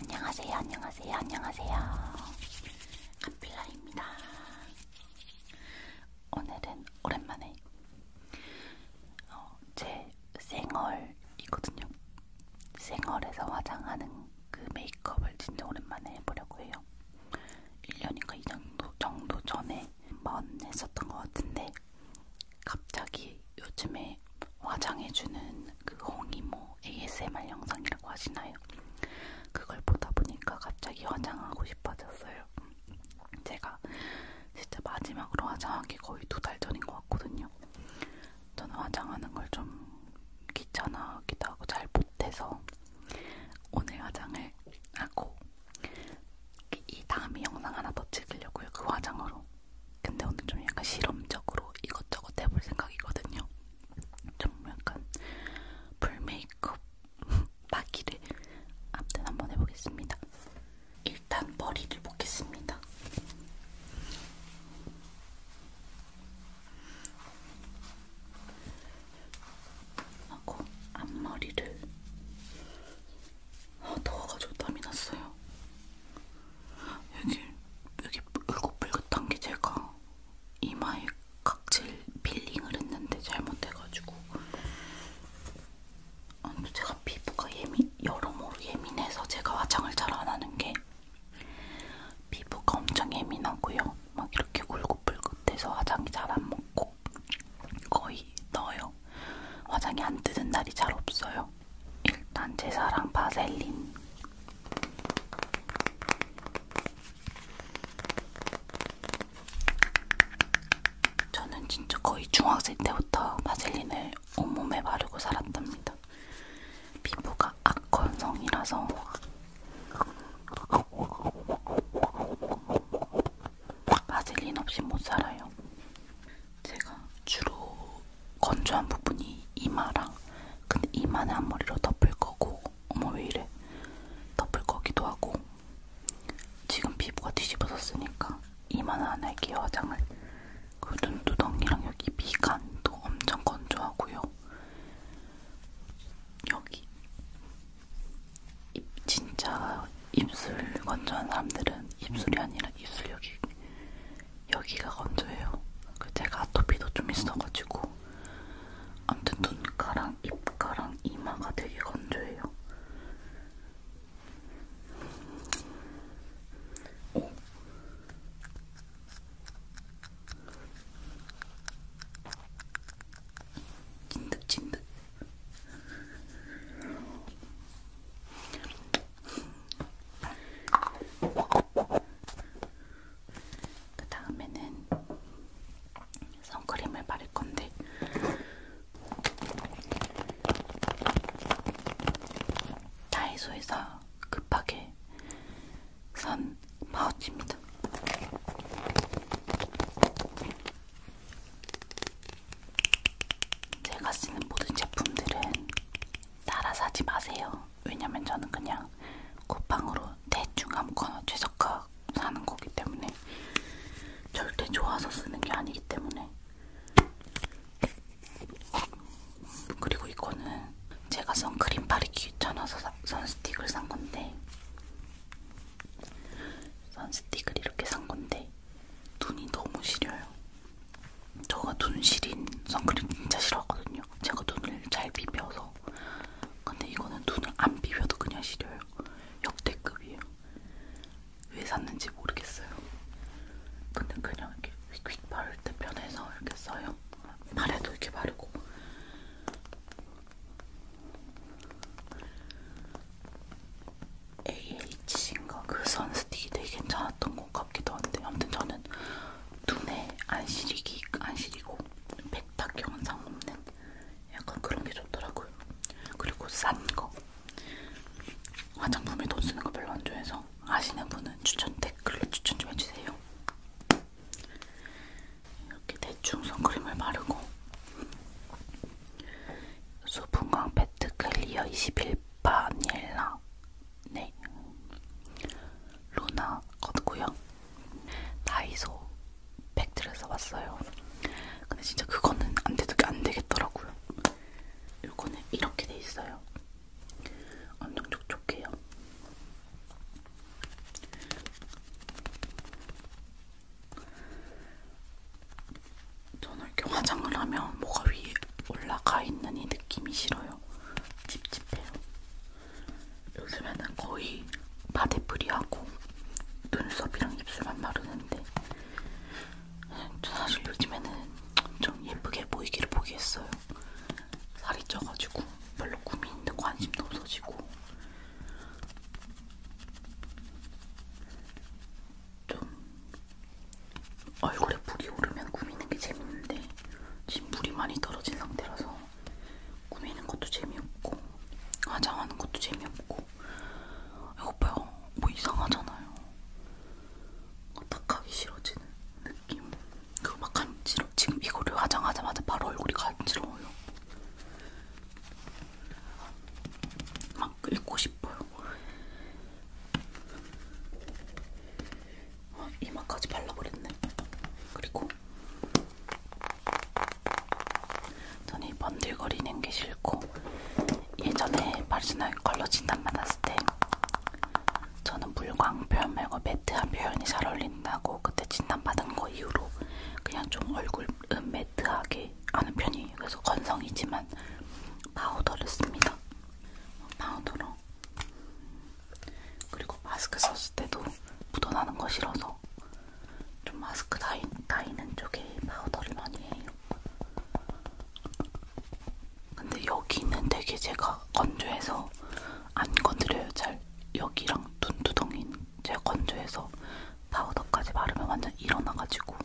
안녕하세요, 안녕하세요, 안녕하세요. 카필라입니다. 오늘은 오랜만에 어, 제 생얼이거든요. 생얼에서 화장하는 그 메이크업을 진짜 오랜만에 해보려고 해요. 1년인가 2년 정도 전에 한 번 했었던 것 같은데 갑자기 요즘에 화장해주는 그 홍이모 ASMR 영상이라고 하시나요? 그걸 보다 보니까 갑자기 화장하고 싶어졌어요. 제가 진짜 마지막으로 화장하기 거의 두 달 전인 것 같거든요. 저는 화장하는 걸 좀 귀찮아하기도 하고 잘 못해서 오늘 화장을 하고 이 다음에 영상 하나 더 찍으려고요. 그 화장으로. 근데 오늘 좀 약간 실험적으로 이것저것 해볼 생각이거든요. 좀 약간 풀메이크업 마기를 아무튼 한번 해보겠습니다. 일단 머리를 보겠습니다. 하고 앞머리를 아, 더워가지고 땀이 났어요. 여기 여기 울긋불긋한 게 제가 이마에 각질 필링을 했는데 잘못해가지고 아, 제가 피부가 예민 여러모로 예민해서 제가 화장을 잘 안 하는 게 피부가 엄청 예민하고요. 막 이렇게 울긋불긋해서 화장이 잘 안 먹고 거의 넣어요. 화장이 안 뜨는 날이 잘 없어요. 일단 제 사랑 바셀린. 저는 진짜 거의 중학생 때부터 바셀린을 온몸에 바르고 살았답니다. 피부가 악건성이라서 바질린 없이 못 살아요. 제가 주로 건조한 부분이 이마랑 근데 이마는 앞머리로 덮을 거고 어머 왜 이래 덮을 거기도 하고 지금 피부가 뒤집어졌으니까 이마는 안 할게요 화장을 그 눈두덩이랑 여기 미간도 엄청 건조하고요 여기 입, 진짜 입술 건조한 사람들은 입술이 아니라 입술 여기 여기가 건조해요. 그 제가 아토피도 좀 있어가지고 아무튼 눈가랑 입가랑 이마가 되게 건조해요. 오. 찐득찐득 그 다음에는 선크림을 바를 건데 다이소에서 급하게 선 파우치입니다. 제가 쓰는 모든 제품들은 따라 사지 마세요. 왜냐면 저는 그냥 쿠팡으로 대충 아무거나 최저가 사는 거기 때문에 절대 좋아서 쓰는 게 아니기 때문에 그리고 이거는 제가 선크림 바르기 귀찮아서 사, 선스틱을 산 건데 선스틱을 이렇게 산 건데 눈이 너무 시려요. 저가 눈 시린 선크림 진짜 싫어하거든요. 제가 눈을 잘 비벼서. 근데 이거는 눈을 안 비벼도 그냥 시려요. 역대급이에요. 왜 샀는지 모르겠어요. 근데 그냥 이렇게 휙휙 바를 때 편해서 이렇게 써요. 발에도 이렇게 바르고. AH인가 그 선스틱이 되게 괜찮았던 것 같기도 한데 아무튼 저는 눈에 안 시리기 안 시리고 백탁 영상 없는 약간 그런 게 좋더라고요. 그리고 싼 거. 화장품에 돈 쓰는 거 별로 안 좋아해서 아시는 분은 추천 댓글로 추천 좀 해주세요. 이렇게 대충 선크림을 바르고 소분광 페트 클리어 21바닐라 네 루나 거고요 다이소 팩트를 써봤어요. 근데 진짜 그거는 안, 되도, 안 되겠더라고요. 요거는 이렇게 돼 있어요. 엄청 촉촉해요. 저는 이렇게 화장을 하면 뭐가 위에 올라가 있는 이 느낌이 싫어요. 찝찝해요. 요즘에는 거의 바디프리하고 눈썹이랑 입술만 바르는데 저 사실 요즘에는 좀 예쁘게 보이기를 포기했어요. 살이 쪄가지고 별로 꿈이 있는 관심도 없어지고 좀 얼굴에 물이 오르면 꾸미는 게 재밌는데 지금 물이 많이 떨어진 상태라서 꾸미는 것도 재미없고 화장하는 것도 재미없고 이거 봐요 뭐 이상하잖아요 딱 하기 싫어지는 느낌 그거 막 간지러 지금 이거를 화장하자마자 바로 얼굴이 간지러워요 막막 읽고 싶어요. 어, 아, 이마까지 발라버렸네. 그리고 저는 이 번들거리는 게 싫고 예전에 파리스널 컬러 진단 받았을 때 저는 물광 표현 말고 매트한 표현이 잘 어울린다고 그때 진단 받은 거 이후로 그냥 좀 얼굴 음 매트하게 하는 편이에요. 그래서 건성이지만 파우더를 씁니다. 파우더로 그리고 마스크 썼을 때도 묻어나는 거 싫어서 좀 마스크 다이, 다이는 쪽에 파우더를 많이 해요. 근데 여기는 되게 제가 건조해서 안 건드려요. 잘 여기랑 눈두덩이 제가 건조해서 파우더까지 바르면 완전 일어나가지고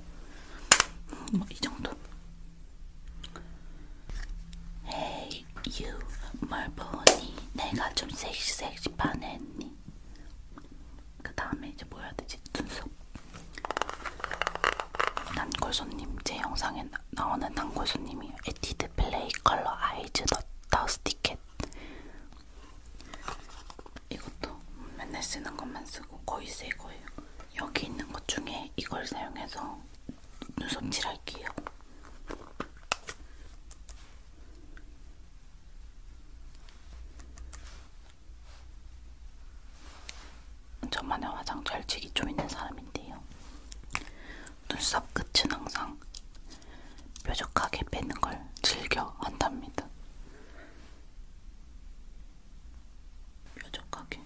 뭐이 정도. Hey you, 뭘 보니? 내가 좀 섹시 섹시 반했니? 그 다음에 이제 뭐 해야 되지? 눈썹. 단골 손님 제 영상에 나오는 단골 손님이 에뛰드 플레이 컬러 아이즈 더 더스티켓 이것도 맨날 쓰는 것만 쓰고 거의 새 거예요. 여기 있는 것 중에 이걸 사용해서 눈썹 칠할게요. 저만의 화장 절치기 좀 있는 사람인데요. 눈썹 끝은 항상 뾰족하게 빼는 걸 즐겨 한답니다. 뾰족하게.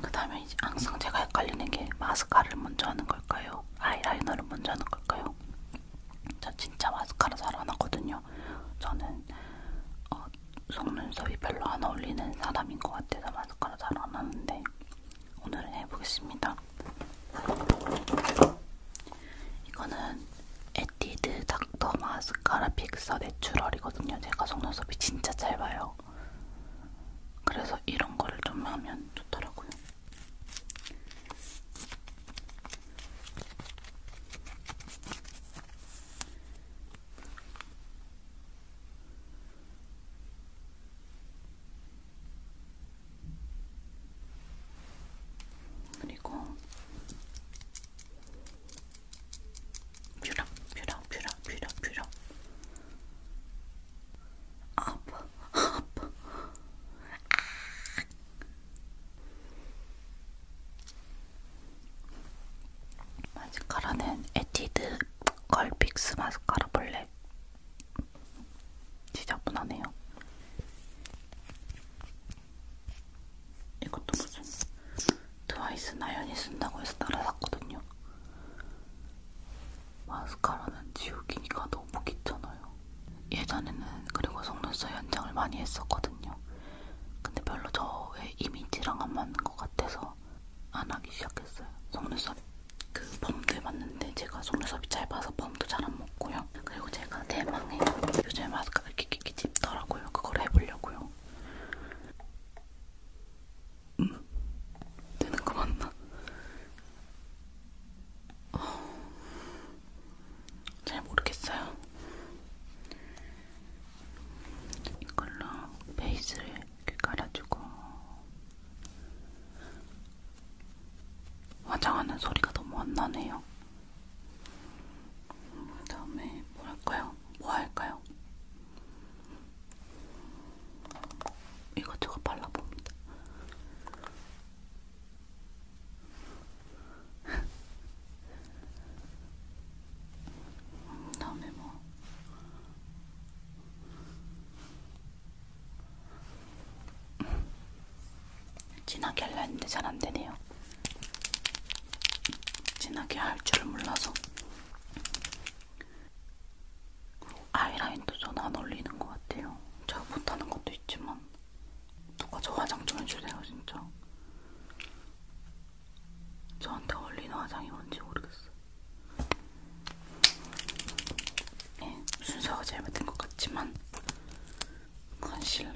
그 다음에 항상 제가 헷갈리는 게 마스카라를 먼저 하는 걸까요? 아이라이너를 먼저 하는 걸까요? 저 진짜 마스카라 잘 안 하거든요. 저는 어, 속눈썹이 별로 안 어울리는 사람인 것 같아서 마스카라 잘 안 하는데 오늘은 해보겠습니다. 이거는 에뛰드 닥터 마스카라 픽서 내추럴이거든요. 제가 속눈썹이 진짜 짧아요. 그래서 이런 거를 좀 하면 좋더라고요. 그리고 뷰락 뷰락 뷰락 뷰락 뷰락 아, 아파 아파 마스카라는 에뛰드 걸픽스 마스카라 블랙 지저분하네요. 이것도 무슨 트와이스 나연이 쓴다고 해서 따라 샀거든요. 마스카라는 지우기니까 너무 귀찮아요. 예전에는 그리고 속눈썹 연장을 많이 했었거든요. 근데 별로 저의 이미지랑 안 맞는 것 같아서 안 하기 시작했어요. 속눈썹 그 펌도 해봤는데 제가 속눈썹이 짧아서 펌도 잘 안 먹고요. 있어요. 그리고 제가 대망의 요즘 마스카라 이렇게 끼기 찝더라고요. 그걸 해보려고요. 음, 되는 거 맞나? 어, 잘 모르겠어요. 이걸로 베이스를 이렇게 깔아주고 화장하는 소리가 너무 안 나네요. 그 다음에 뭐 할까요? 뭐 할까요? 이것저것 발라봅니다. 그 다음에 뭐 진하게 하려 했는데 잘 안되네요 진하게 할 줄을 몰라서 아이라인도 전 안어울리는 것 같아요 제가 못하는 것도 있지만 누가 저 화장 좀 해주세요 진짜 저한테 어울리는 화장이 뭔지 모르겠어요 네, 예, 순서가 잘못된 것 같지만 컨실러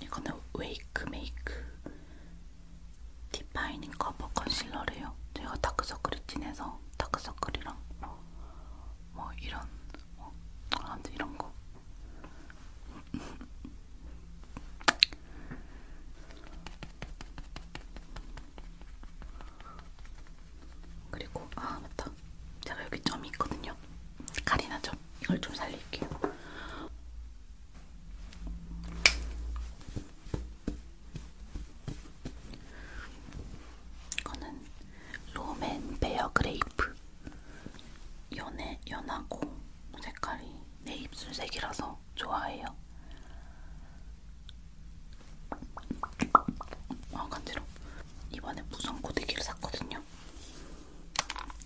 이거는 웨이크 메이크 디파이닝 커버 컨실러래요. 제가 다크서클이 진해서 다크서클이랑 뭐, 뭐 이런 뭐 아무튼 이런 거. 그리고 아 맞다. 제가 여기 점이 있거든요. 카리나 점 이걸 좀 살릴게요. 이거는 로맨 베어 그레이프 연해 연하고 색깔이 내 입술색이라서 좋아해요. 아 간지러. 이번에 무선 고데기를 샀거든요.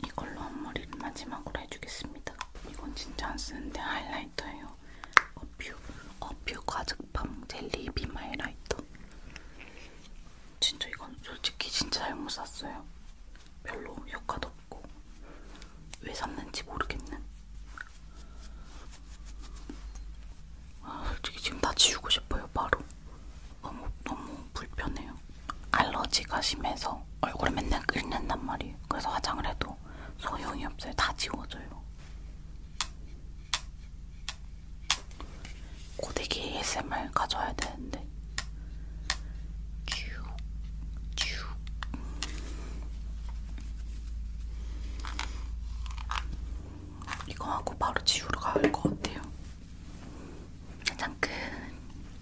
이걸로 앞머리를 마지막으로 해주겠습니다. 이건 진짜 안 쓰는데 하이라이터예요. 어퓨, 어퓨 과즙밤 젤리 빔 하이라이터. 진짜 이건 솔직히 진짜 잘못 샀어요. 별로 효과도 없고 왜 샀는지 모르겠는. 아, 솔직히 지금 다 지우고 싶어요, 바로. 너무, 너무 불편해요. 알러지가 심해서 얼굴에 맨날 끓는단 말이에요. 그래서 화장을 해도 소용이 없어요. 다 지워져요. 고데기 ASMR 가져야 되는데. 쭉, 쭉. 이거 하고 바로 지우러 가야 할것 같아요. 가장 큰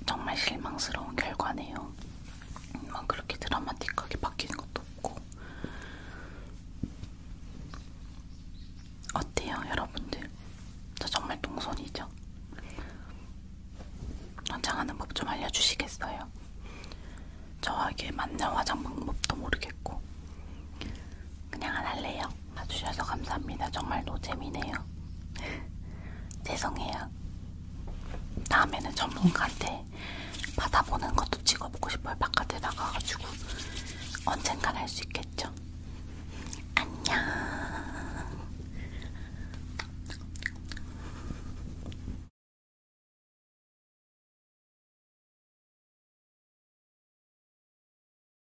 정말 실망스러운 결과네요. 막 그렇게 드라마틱하게 바뀌는 것도 없고 어때요, 여러분들? 저 정말 동선이죠? 화장하는 법 좀 알려주시겠어요? 저에게 맞는 화장 방법도 모르겠고 그냥 안 할래요. 봐주셔서 감사합니다. 정말 노잼이네요. 죄송해요. 다음에는 전문가한테 받아보는 것도 찍어보고 싶어요. 바깥에 나가가지고 언젠간 할 수 있겠죠. 안녕.